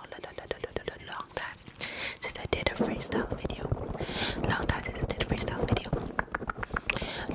long, long, long time since I did a freestyle video. Long time since I did a freestyle video.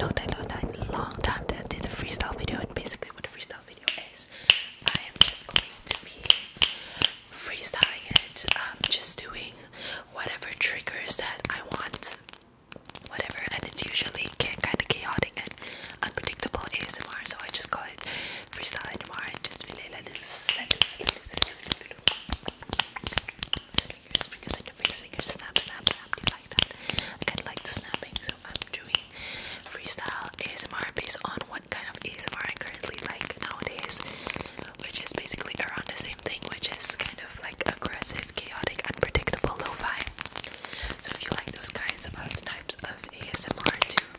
Long time, long time, long time that I did a freestyle video. And basically, what a freestyle video is, I am just going to be freestyling I'm just doing whatever triggers that I want, whatever. And it's usually kind of chaotic and unpredictable ASMR, so I just call it freestyling tomorrow and just really let loose, let loose, let loose, let loose, let loose. Fingers, fingers, fingers, fingers, snap, snap, snap. Do you like that? I kind of like the snapping, so I'm doing freestyle ASMR based on what kind of ASMR I currently like nowadays, which is basically around the same thing, which is kind of like aggressive, chaotic, unpredictable lo-fi. So if you like those kinds of types of ASMR too,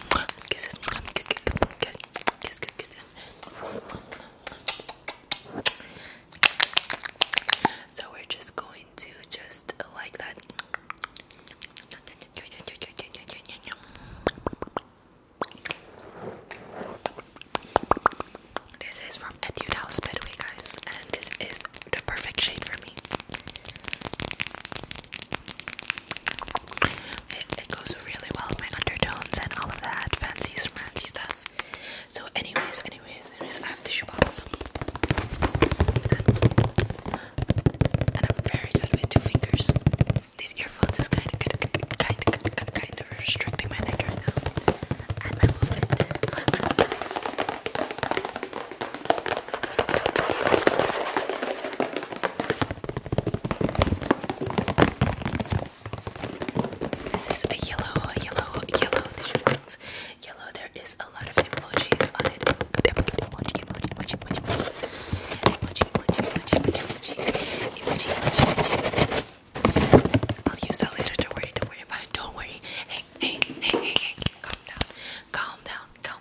So we're just going to just like that. This is from Etude House, by the way, guys, and this is the perfect shade for me. It, goes really well with my undertones and all of that fancy, fancy stuff. So, anyways, anyways, anyways, I have a tissue box. And I'm very good with two fingers. These earphones is kind of, kind of, kind of restricting my neck right now. And my movement. This is a yellow, yellow, yellow. These are things. Yellow. There is a lot of emojis on it. I'll use that later. Don't worry. Don't worry Don't worry. Hey, hey, hey, hey, hey. Calm down. Calm down. Calm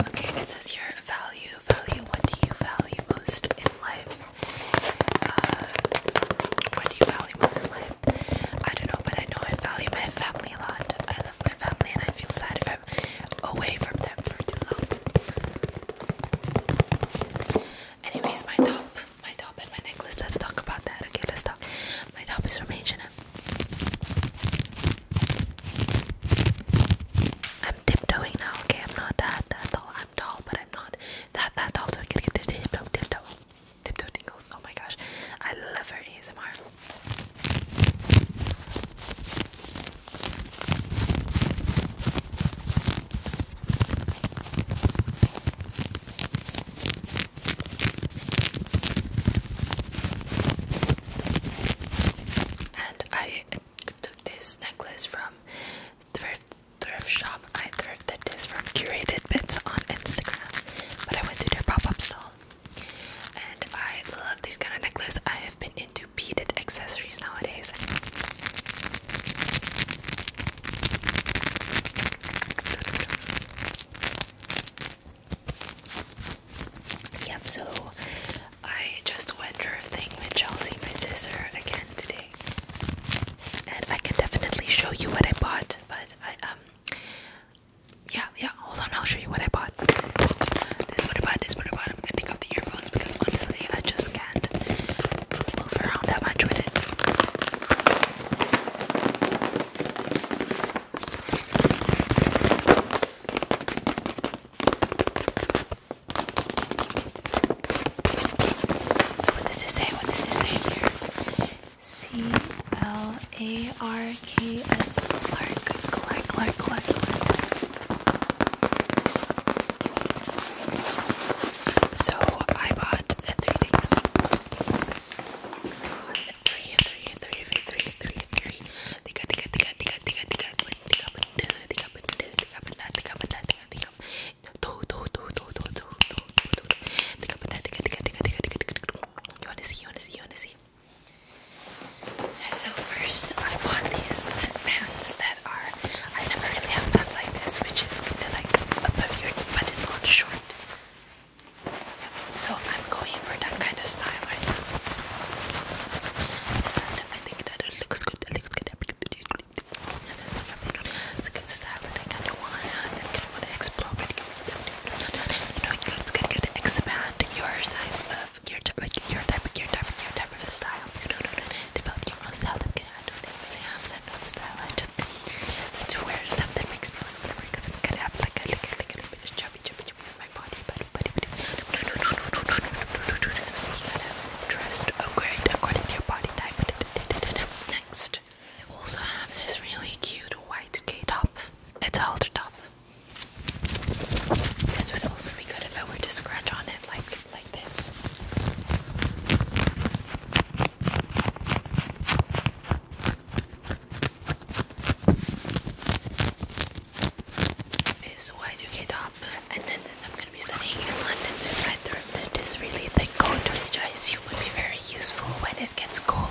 Okay, it says your value. Value. What do you value most in life? Uh, what do you value most in life? I don't know, but I know I value my family a lot. I love my family, and I feel sad if I'm away from them for too long. Anyways, my top my top and my necklace. Let's talk about that. Okay, let's talk. My top is from H&M. I'm tiptoeing now. Okay, I'm not that that tall. I'm tall, but I'm not that that tall. So I can get this tiptoe, tiptoe, tiptoe tingles. Oh my gosh, I love her ASMR. And I took this necklace from thrift thrift shop. I thrifted this from Curated Bits on Instagram, but I went to their pop-up stall. And I love these kind of necklaces. I have been into beaded accessories nowadays. Yep, so I just went through a thing with Chelsea, my sister, again today. And I can definitely show you what I bought, but I, um, yeah, yeah, hold on, I'll show you what I bought. This is what I bought, this is what I bought. I'm gonna take off the earphones because honestly, I just can't move around that much with it. So what does it say? What does it say here? C L A R K S Clark Clark Clark Clark. So I bought uh, three things. Three, three, three, three, three, three. Tiga, tiga, tiga, tiga, tiga, tiga, tiga, benda, tiga, benda, tiga, benda, tiga, benda, tiga, tiga. Two, two, two, two, two, two, two, two, two. Tiga benda, tiga, tiga, tiga, tiga, tiga, tiga, tiga. You wanna see? You wanna see? You wanna see? So first, I bought these pants that are. I never really have pants like this, which is kind of like above your knee, but it's not short. So I'm going for that kind of style right now. And I think that it looks good. It looks good. That is not a It's a good style I kind of want. I kind of want to explore You know, you guys can get expand your type of your type, your type, your your type of style. develop your own style that really have certain style to wear something that makes me look slimmer because I'm gonna have like a little bit of chubby chubby chubby on my body, but but but so we gotta dress great according to your body type. Next, I also have this really cute white 2 top. It's a halter top. This would also be good if I were to scratch on it like like this is white UK top and then, I'm gonna be studying in London soon right through that is really thick coat which I assume would be very useful when it gets cold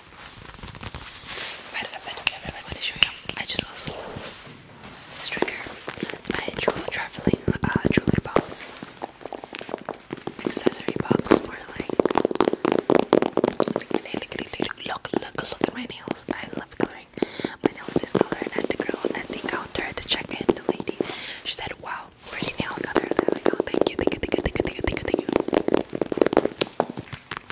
But, but, but I'm going to show you. I just lost this trigger. It's my jewel traveling uh, jewelry box, accessory box, more like. Look, look, look at my nails. I love coloring my nails this color. And the girl at the counter, the check-in, the lady, she said, "Wow, pretty nail color." And I'm like, "Oh, thank you, thank you, thank you, thank you, thank you, thank you."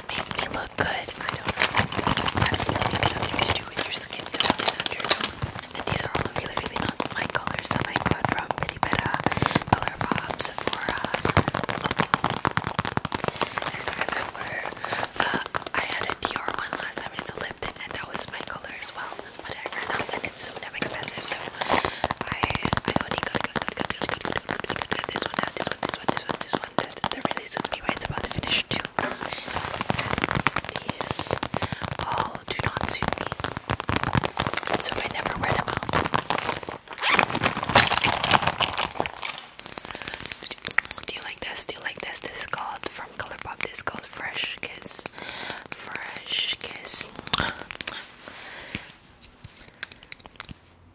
just make me look good. I don't know. I feel like it's something to do with your skin tone and undertones. And these are all really, really not my colors that I got from Bitty Betta, Color Pop, Sephora. And remember, uh, I had a Dior one last time, it's a lip tint, and that was my color as well. But I ran out, and it's so damn expensive, so I I only got, got, got, got, got, got, got, got, got, got this one, this one, this one, this one, this one blended. They're really suits me right. It's about to finish too. These all do not suit me, so I never wear them Do you like this? Do you like this? This called from Colourpop. This called Fresh Kiss. Fresh Kiss.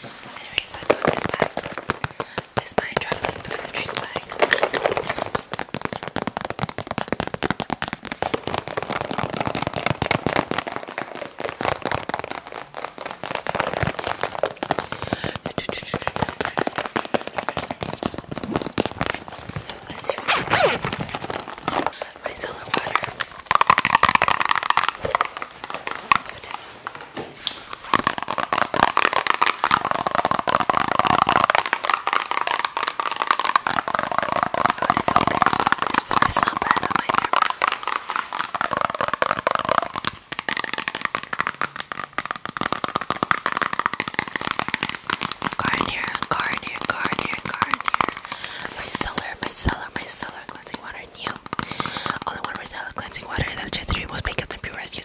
Anyways, I got this back is my traveling toiletries bag. So let's use my solar water. Let's put this in. Focus, focus, focus, not bad on my camera. Garnier, Garnier, Garnier, Garnier. Micellar, micellar, micellar cleansing water, new. Only one micellar cleansing water that just removes makeup and pure as skin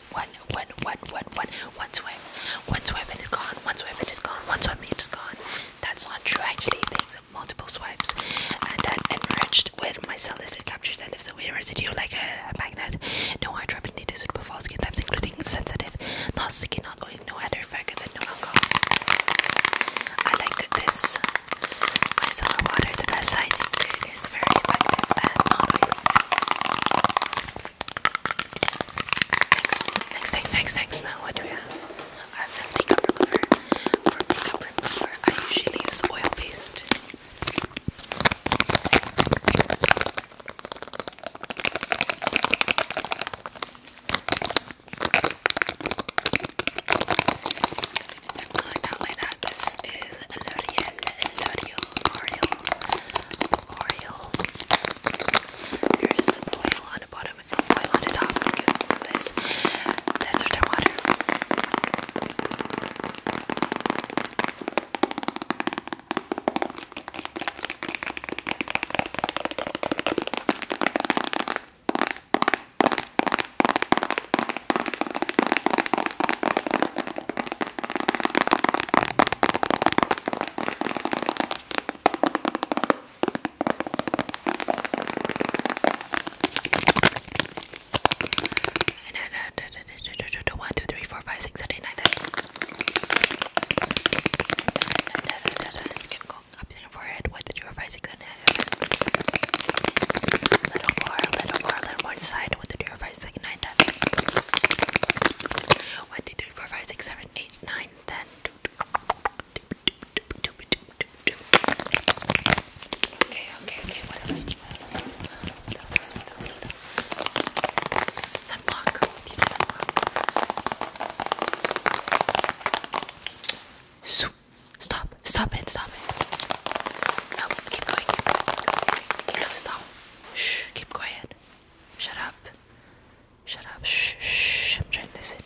just one, one, one, one, one, one swipe. One swipe it is gone. One swipe it is gone. One swipe it is gone. That's not true actually. There's multiple swipes, and that enriched with my cell listed captures that leaves away residue like a, magnet. No hydropin data suitable for skin types, including sensitive, not sticky, not oily, no other factor than no alcohol. I like this micellar water the best. I think it's very effective and not oily. Next, next, next, next, next. Now, what do we have? I have the makeup remover. For makeup remover, I usually use oil paste. Not like that, like that. This is L'Oreal, L'Oreal, L'Oreal, L'Oreal. There's some oil on the bottom and oil on the top because this better than water. One, two, three, four, five, six, seven, eight, nine, ten. Let's get going. Up to your forehead. One, two, three, four, five, six, seven, eight, nine, ten. A little more, a little more, a little more inside. One, two, three, four, five, six, nine, ten. One, two, three, four, five, six, seven, eight, nine, ten. Okay, okay, okay. What else? What else? stop. Stop it. Stop it. No, keep going. Keep going. Keep going. Stop. Shh, keep quiet. Shut up. Shut up. Shh, shh, I'm trying to listen.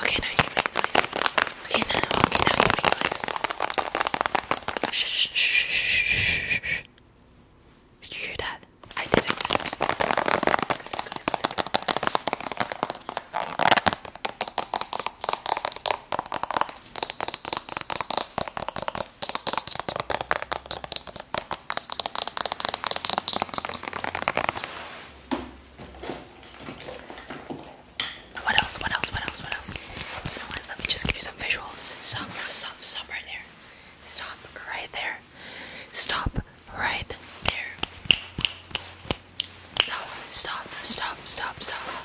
Okay, now you can make noise. Okay, now, okay, now you can make noise. Shh, shh, shh, shh, shh. Did you hear that? I did it. What else? What else? What else? What else? You know what? Let me just give you some visuals. Stop, stop, stop right there. Stop right there. Stop right there. Stop, stop, stop, stop, stop.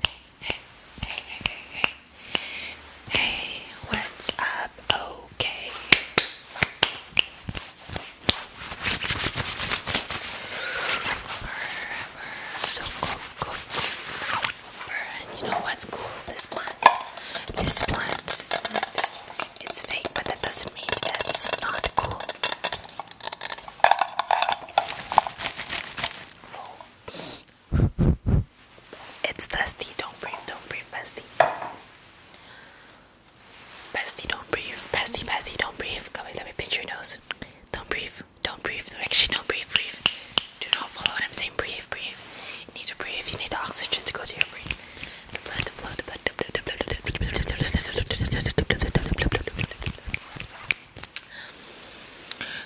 Hey, hey, hey, hey, hey, hey. Hey, what's up? Oh, okay. we so cool, cool, And you know what's cool? This plant. This plant, this It's fake, but that doesn't mean that's not cool. It's dusty. Don't breathe. Don't breathe, bestie. Bestie, don't breathe. Bestie, bestie, don't breathe. Come here, let me pinch your nose. Don't breathe. Don't breathe. Actually, don't breathe. Breathe. Do not follow what I'm saying. Breathe. Breathe. You need to breathe. You need oxygen to go to your brain. The blood to flow. The blood.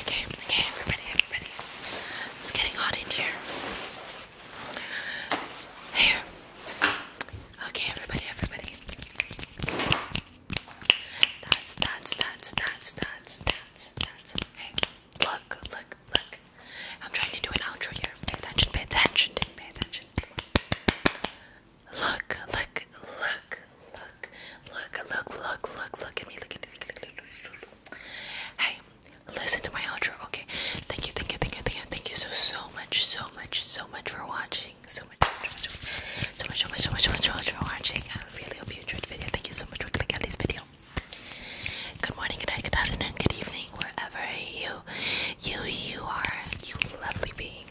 Okay, okay, everybody, everybody. It's getting hot in here. Here. Okay, everybody, everybody. That's, that's, that's, that's, that's, that's, that's. Look, look, look. I'm trying to do an outro here. Pay attention, pay attention, pay attention. Look, look, look, look, look, look, look, look, look at me, look at me, look at me. Hey, listen to my outro, okay? Thank you, thank you, thank you, thank you, thank you so, so much, so much, so much for watching. So much, so much, so much, so much, so much, so much for watching. I really hope you enjoyed the video. Thank you so much for clicking on this video. Good morning, good night, good afternoon, good evening, wherever you, you, you are, you lovely being